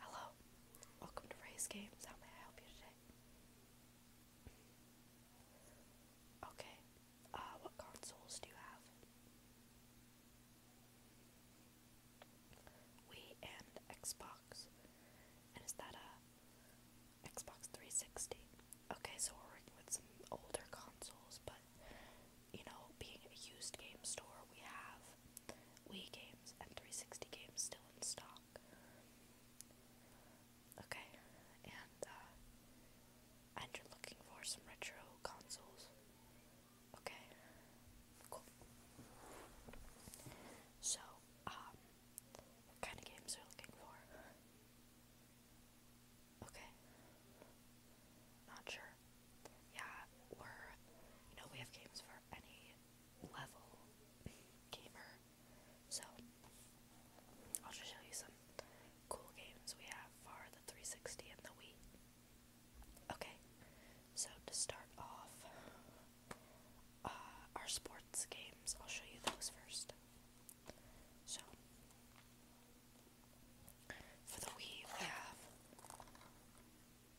Hello, welcome to Ray's Games. How may I help you today? Okay, uh, what consoles do you have? Wii and Xbox. And is that a Xbox 360? Okay, so we're working with some older consoles, but you know, being a used game store, we have Wii games and 360 games still in stock. Okay, and uh, and you're looking for some retro consoles. Okay, cool. So, um, what kind of games are you looking for? Okay, not sure yeah, we're, you know, we have games for any level gamer. So, I'll just show you some cool games we have for the 360 and the Wii. Okay, so to start off, uh, our sports games, I'll show you those first. So, for the Wii, we have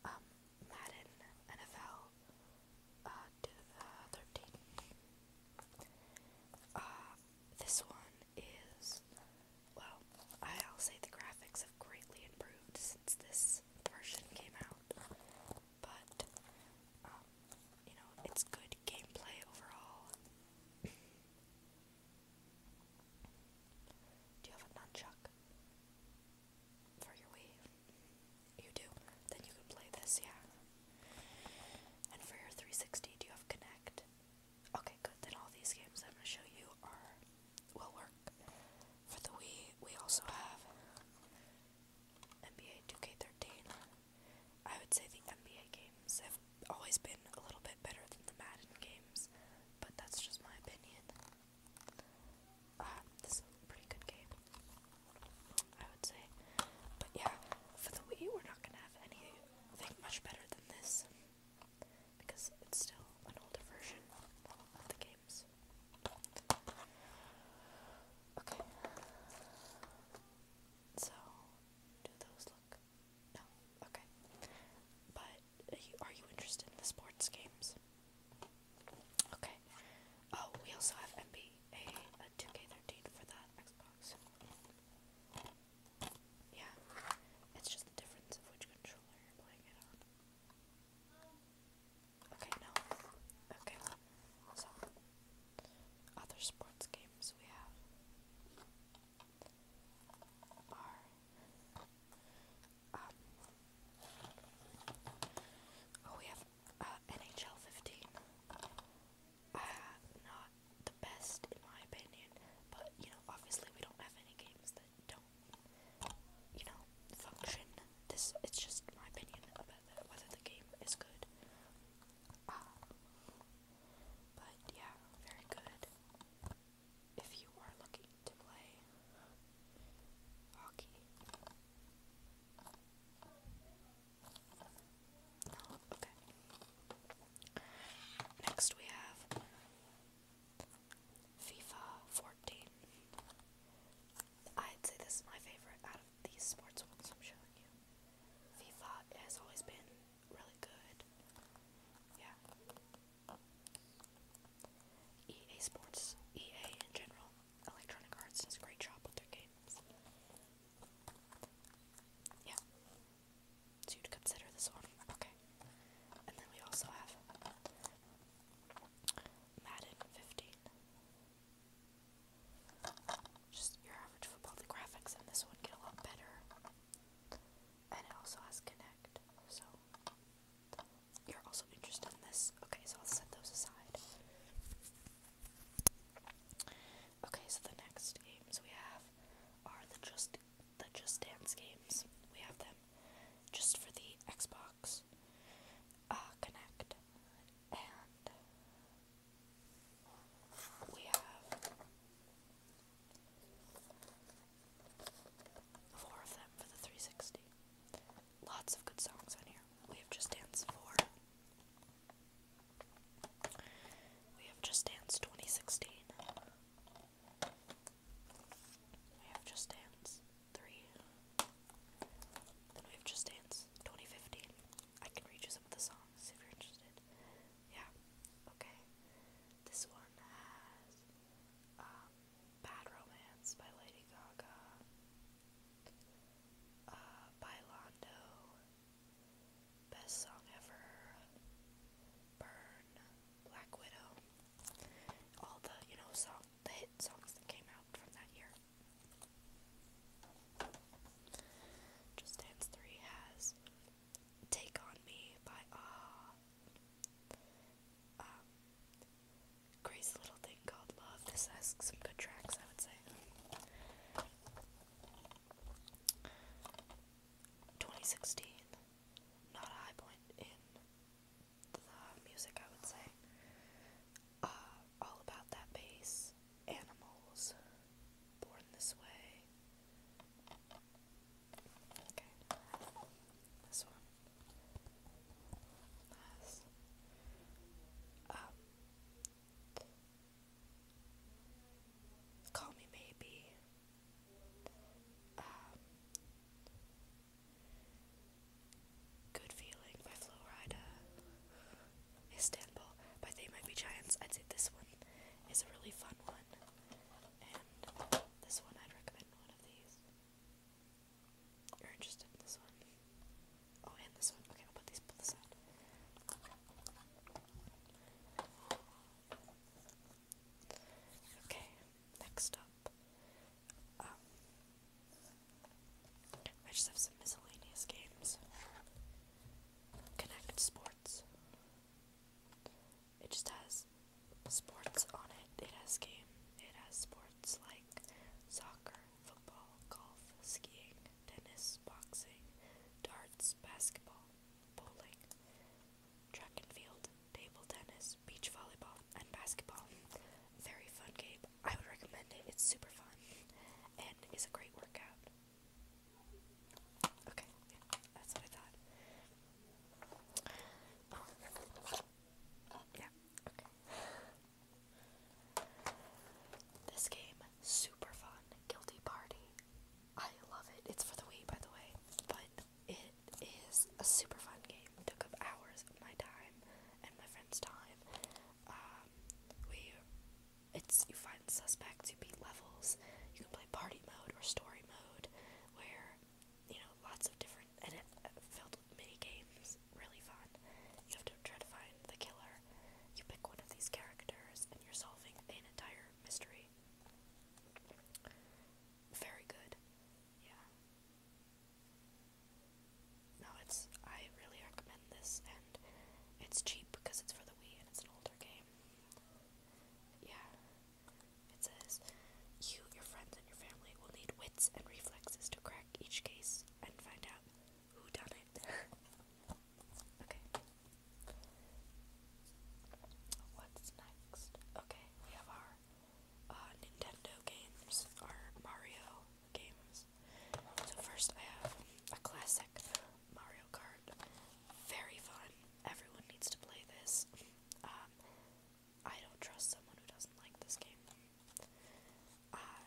um, Madden NFL uh, 13. Uh, this one is, well, I'll say the graphics have greatly improved since this version came out, but, um, you know, it's good gameplay overall. Do you have a nunchuck for your Wii? You do. Then you can play this, yeah. And for your 360, do you have Connect? Okay, good. Then all these games I'm gonna show you are will work. For the Wii, we also have NBA 2K13. I would say the NBA games have always been a little bit better than the Madden games, but that's just my opinion. Uh, this is a pretty good game, I would say. But yeah, for the Wii, we're not gonna have anything much better than this because it's still an older version of the games. Okay. So, do those look? No, okay. But are you interested in the sports games? Okay. Oh, we also have NBA 2 13 for the Xbox. Yeah, it's just the difference of which controller you're playing it on. Okay, no. Okay, so other sports games we have are um, oh, we have uh, NHL 15. Uh, not the best, in my opinion, but, you know, obviously we don't have any games that don't, you know, function. This, it's just my opinion about whether the game is good. Uh, but, yeah, very good if you are looking to play hockey. Oh, okay. Next we have FIFA 14. I'd say this is my favorite out of these sports ones I'm showing you. FIFA has always been really good. Yeah. EA Sports, EA in general, Electronic Arts does a great job with their games. Yeah. So you'd consider this one. Okay. And then we also have Madden 15. Just your average football. The graphics in this one get a lot better and it also has connect, so you're also interested in this. Okay, so I'll set those aside. Okay, so the next games we have are the just the Just Dance games. We have them just for the Xbox uh, Connect, and we have Four of them for the 360. Lots of good songs on here. We have Just Dance 4. We have Just Dance 2016. We have Just Dance 3. Then we have Just Dance 2015. I can read you some of the songs if you're interested. Yeah, okay. This one has um, Bad Romance by Lady Gaga, uh, by Londo, Best Song Ever, Burn, Black Widow, all the, you know, song, the hit songs that came out from that year. Just Dance 3 has Take on Me by Ah. Crazy Little Thing Called Love. This has some good tracks, I would say. 2016. Not a high point in the music, I would say. Uh, all About That Bass. Animals. Born This Way. Okay. This one. Nice. Um, call me maybe. Um, good feeling by Flo Istanbul, but they might be giants. I'd this one is a really fun one this one, I'd recommend one of these. You're interested in this one? Oh, and this one. Okay, put these both aside. Okay, next up. Um, I just have some miscellaneous games. Connect Sports. It just has sports on it. It has game. It has sports like soccer, football, golf, skiing, tennis, boxing, darts, basketball, bowling, track and field, table tennis, beach volleyball, and basketball. Very fun game. I would recommend it. It's super fun and is a great workout. Okay, yeah, that's what I thought. Oh, yeah, This game, super fun. Guilty Party. I love it. It's for the Wii, by the way, but it is a super fun game. It took up hours of my time and my friend's time. Um, we it's you find suspects, you beat levels, you can play party mode or story mode, where you know lots of different and it filled with mini games, really fun. You have to try to find the killer. You pick one of these characters, and you're solving an entire mystery. Very good, yeah. No, it's I really recommend this, and it's cheap because it's for the Wii and it's an older game. Yeah. It says, You, your friends, and your family will need wits and reflexes to crack each case and find out who done it. okay. What's next? Okay, we have our uh, Nintendo games, our Mario games. So, first I have a classic Mario Kart. Very fun. Everyone needs to play this. Um, I don't trust someone who doesn't like this game. Uh,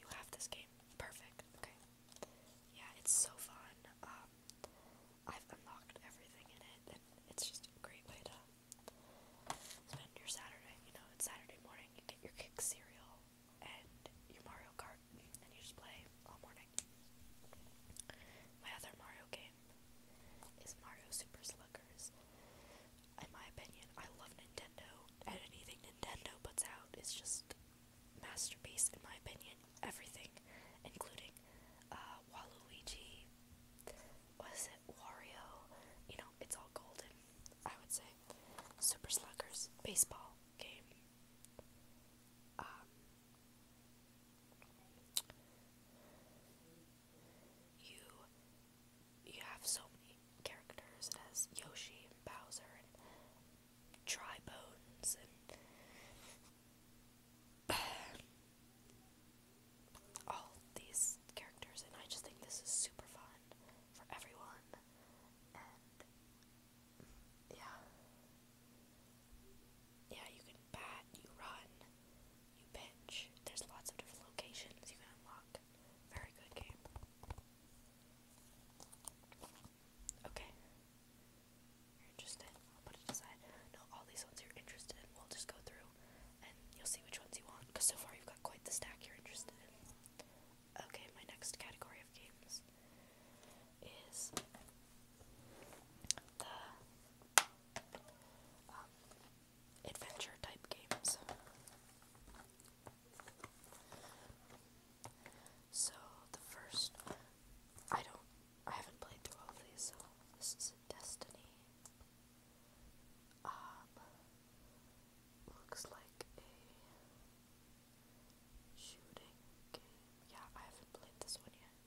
you have this game. Perfect. Okay. Yeah, it's so fun. Um, I've unlocked everything in it, it's just a great way to spend your Saturday. You know, it's Saturday morning, you get your kick cereal, and your Mario Kart, and you just play all morning. My other Mario game is Mario Super Sluggers. In my opinion, I love Nintendo, and anything Nintendo puts out is just masterpiece in my opinion. Everything, including uh, Waluigi, was it Wario? You know, it's all golden. I would say Super Sluggers, baseball, game. Um, you you have so many characters. It Yoshi and Bowser and Dry and all these characters, and I just think this is super fun for everyone yeah. Yeah, you can bat, you run, you pitch. There's lots of different locations you can unlock. Very good game. Okay. You're interested? I'll put it aside. No, all these ones you're interested in, we'll just go through and you'll see which ones you want. Because so far you've got quite the stack you're interested in. Okay, my next category of games is the um, adventure type games. So the first, I don't, I haven't played through all of these. So this is Destiny. Um, Looks like a shooting game. Yeah, I haven't played this one yet.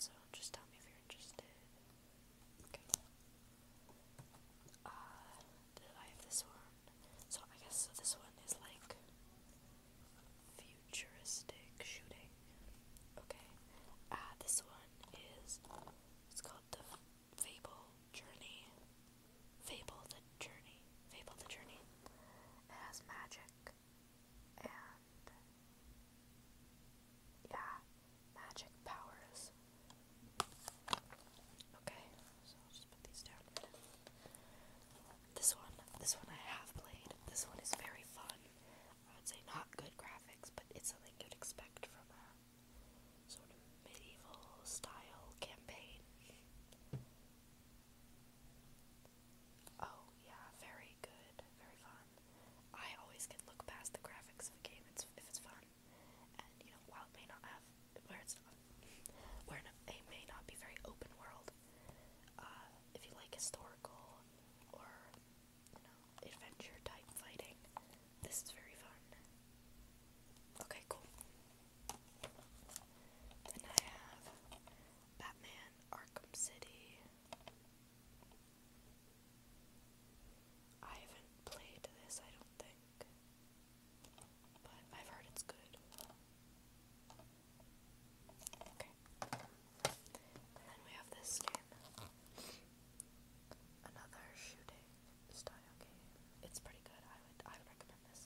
So just tell me if you're interested. Okay. Uh, I have this one? So I guess this one is like futuristic shooting. Okay. Uh, this one is. It's called the Fable Journey. Fable the Journey. Fable the Journey. It has magic and yeah, magic powers. Okay, so I'll just put these down. This one, this one I have played. This one is very fun. I would say not good graphics, but it's something you'd expect from sort of medieval style campaign. Oh, yeah, very good, very fun. I always can look past the graphics of a game if it's fun. And, you know, while it may not have, where it's not, where it may not be very open world, uh, if you like historical or, adventure type fighting, this is very fun. Okay, cool. Then I have Batman Arkham City. I haven't played this, I don't think. But I've heard it's good. Okay. And then we have this game another shooting style game. It's pretty good. I would I would recommend this.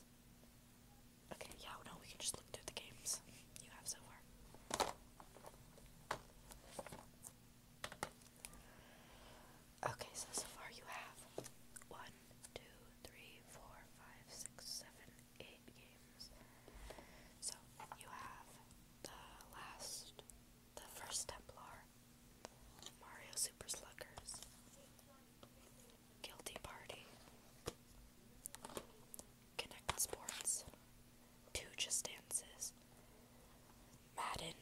Okay, yeah, no, we can just look through the games you have so far. Okay, so so far you have one, two, three, four, five, six, seven, eight games. So you have the last the first Templar, Mario Super Sluggers, Guilty Party, Connect Sports, Two Just Dances, Madden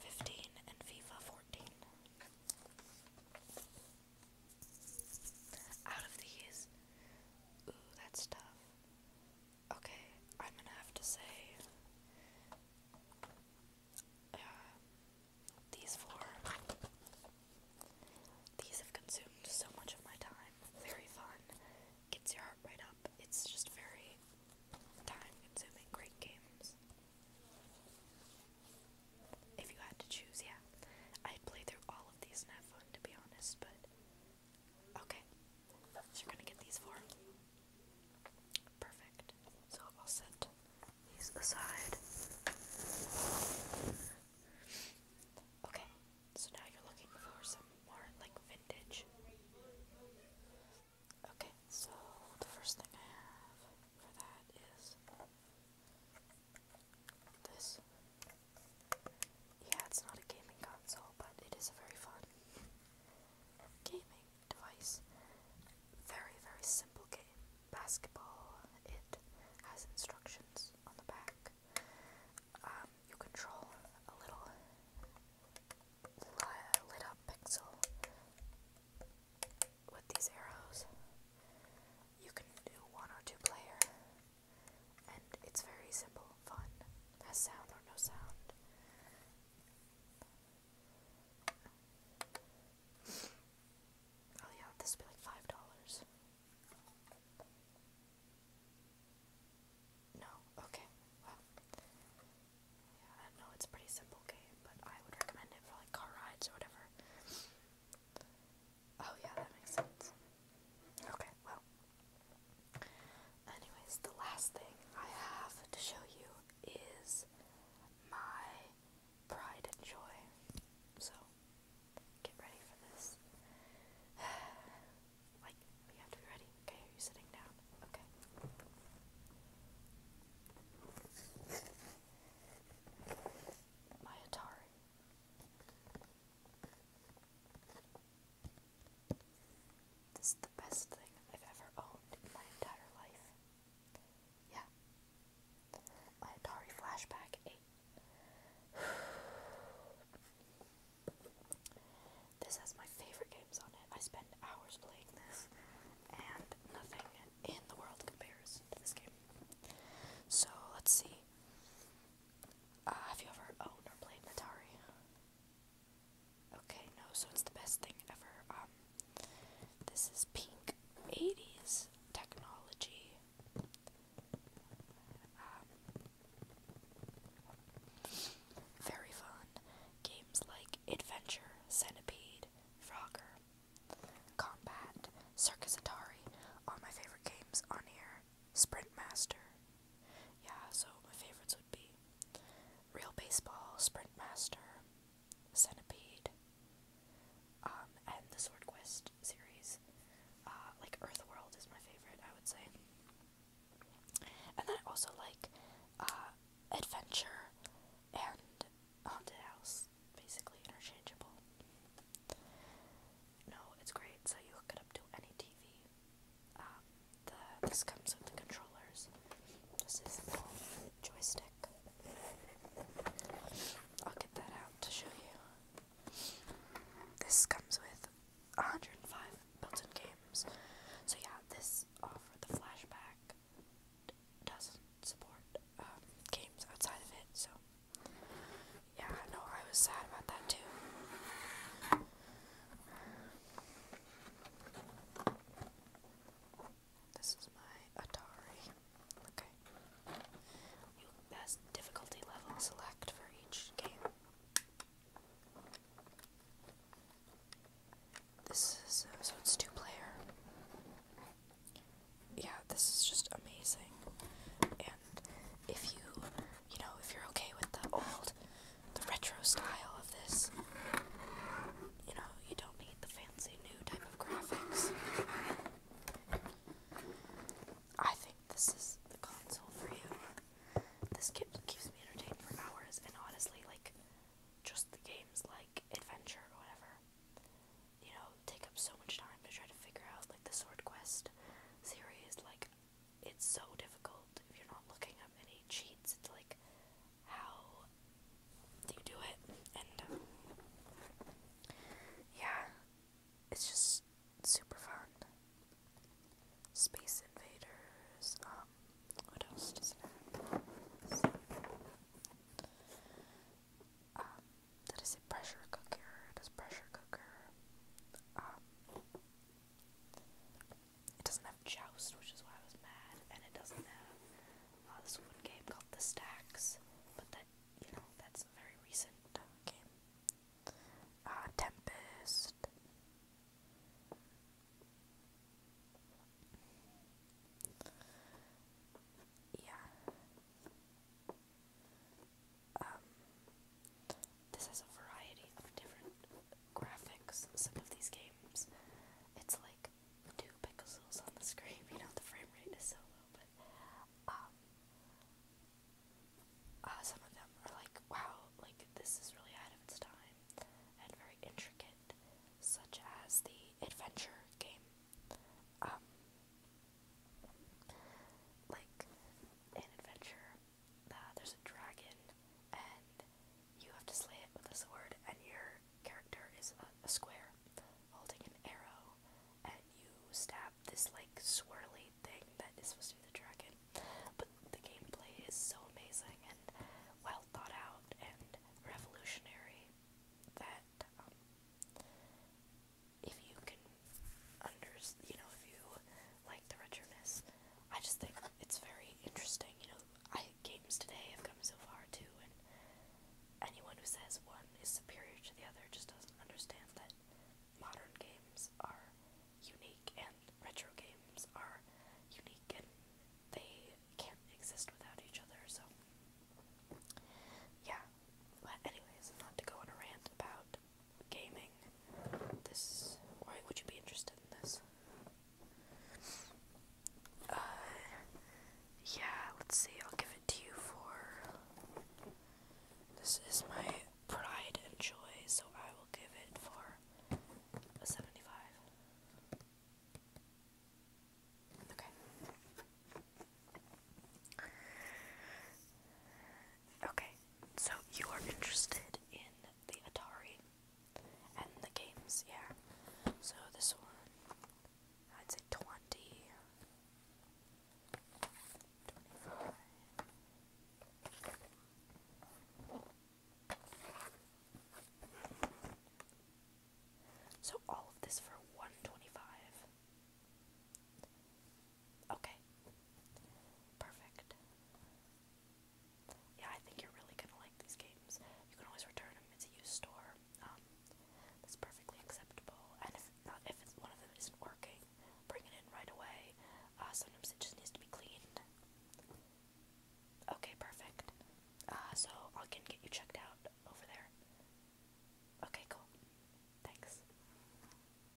15 and FIFA 14. Out of these, ooh, that's tough. Okay, I'm gonna have to say uh, these four, these have consumed so much of my time. Very fun, gets your heart right up. It's just very time-consuming. Great games. If you had to choose, yeah, I'd play through all of these and have fun, to be honest. But okay, you're gonna get these four. Perfect. So I'll set these aside. Okay, so now you're looking for some more like vintage. Okay, so the first thing I have for that is this. Yeah, it's not a gaming console, but it is a very fun gaming device. Very, very simple game. Basketball, it has instructions on the back. Um, you control a little lit up pixel with these arrows. You can do one or two player, and it's very simple, fun. Has sound or no sound. Oh yeah, this would be like five dollars. No, okay. Well, yeah, I know it's a pretty simple game, but I would recommend it for like car rides or whatever. Oh yeah, that makes sense. Okay, well, Anyways, the last thing I have to show you is my pride and joy. So, get ready for this. like, you have to be ready. Okay, are you sitting down? Okay. My Atari. This is the best thing I've ever owned in my entire life. Yeah. My Atari Flashback This has my favorite games on it. I spend hours playing this, and nothing in the world compares to this game. So, let's see. Uh, have you ever owned or played an Atari? Okay, no, so it's the best thing ever. Um, this is pink 80s technology. Um, very fun. Games like Adventure, Centipede, Frogger, Combat, Circus Atari are my favorite games on here. Sprint Master. Yeah, so my favorites Real Baseball, Sprintmaster, Centipede, um, and the Sword Quest series. Uh, like World is my favorite, I would say. And then I also like uh, Adventure and Haunted House, basically interchangeable. No, it's great, so you hook it up to any TV um, this comes with the controllers. This is the joystick. I'll get that out to show you. This comes with 105 built-in games. So yeah, this offer the flashback doesn't support um, games outside of it. So yeah, I know I was sad about that too. This is my Atari. Okay. You best difficulty level select for each game. This is so it's two player. Yeah, this is just amazing. And if you you know, if you're okay with the old, the retro style of this, you know, you don't need the fancy new type of graphics. I think this is the console for you. This keep, keeps me entertained for hours, and honestly, like, just the games like Adventure whatever, you know, take up so much time to try to figure out, like, the Sword Quest series. Like, it's so difficult if you're not looking up any cheats. It's like, how do you do it? And um, yeah, it's just super fun. Space Invaders. Um, what else does it have? Um, did I say pressure cooker? It is pressure cooker. Um, it doesn't have Joust, which is why I was mad, and it doesn't have uh, this one game called The Stacks, but that, you know, that's a very recent uh, game. Uh, Tempest. Yeah. Um, this has a variety of different graphics. Some of these games, it's like two pixels on the screen. You know, the frame rate is so low, but um, uh, some of them are like, wow, like this is really ahead of its time and very intricate, such as the adventure game. Um, like an adventure there's a dragon, and you have to slay it with a sword, and your character is a, square holding an arrow, and you stab this like swirly thing that is supposed to be the dragon. But the gameplay is so amazing and well thought out and revolutionary that um, if you can understand, you know if you like the Retro Miss. I just think it's very interesting, you know, I games today have come so far too, and anyone who says one is superior to the other just doesn't understand that modern games are unique and retro games are unique and they can't exist without each other, so yeah. But anyways, not to go on a rant about gaming. This why would you be interested in this? Uh yeah, let's see, I'll give it to you for this is my pride and joy, so I will give it for a seventy five. Okay. Okay. So you are interested in the Atari and the games, yeah. So this one, I'd say 20, So all of this for 125. Okay. Perfect. Yeah, I think you're really gonna like these games. You can always return them. It's a used store. Um, that's perfectly acceptable. And if uh, if one of them isn't working, bring it in right away. Uh, sometimes it just needs to be cleaned. Okay, perfect. Uh, so I can get you checked out over there. Okay, cool. Thanks.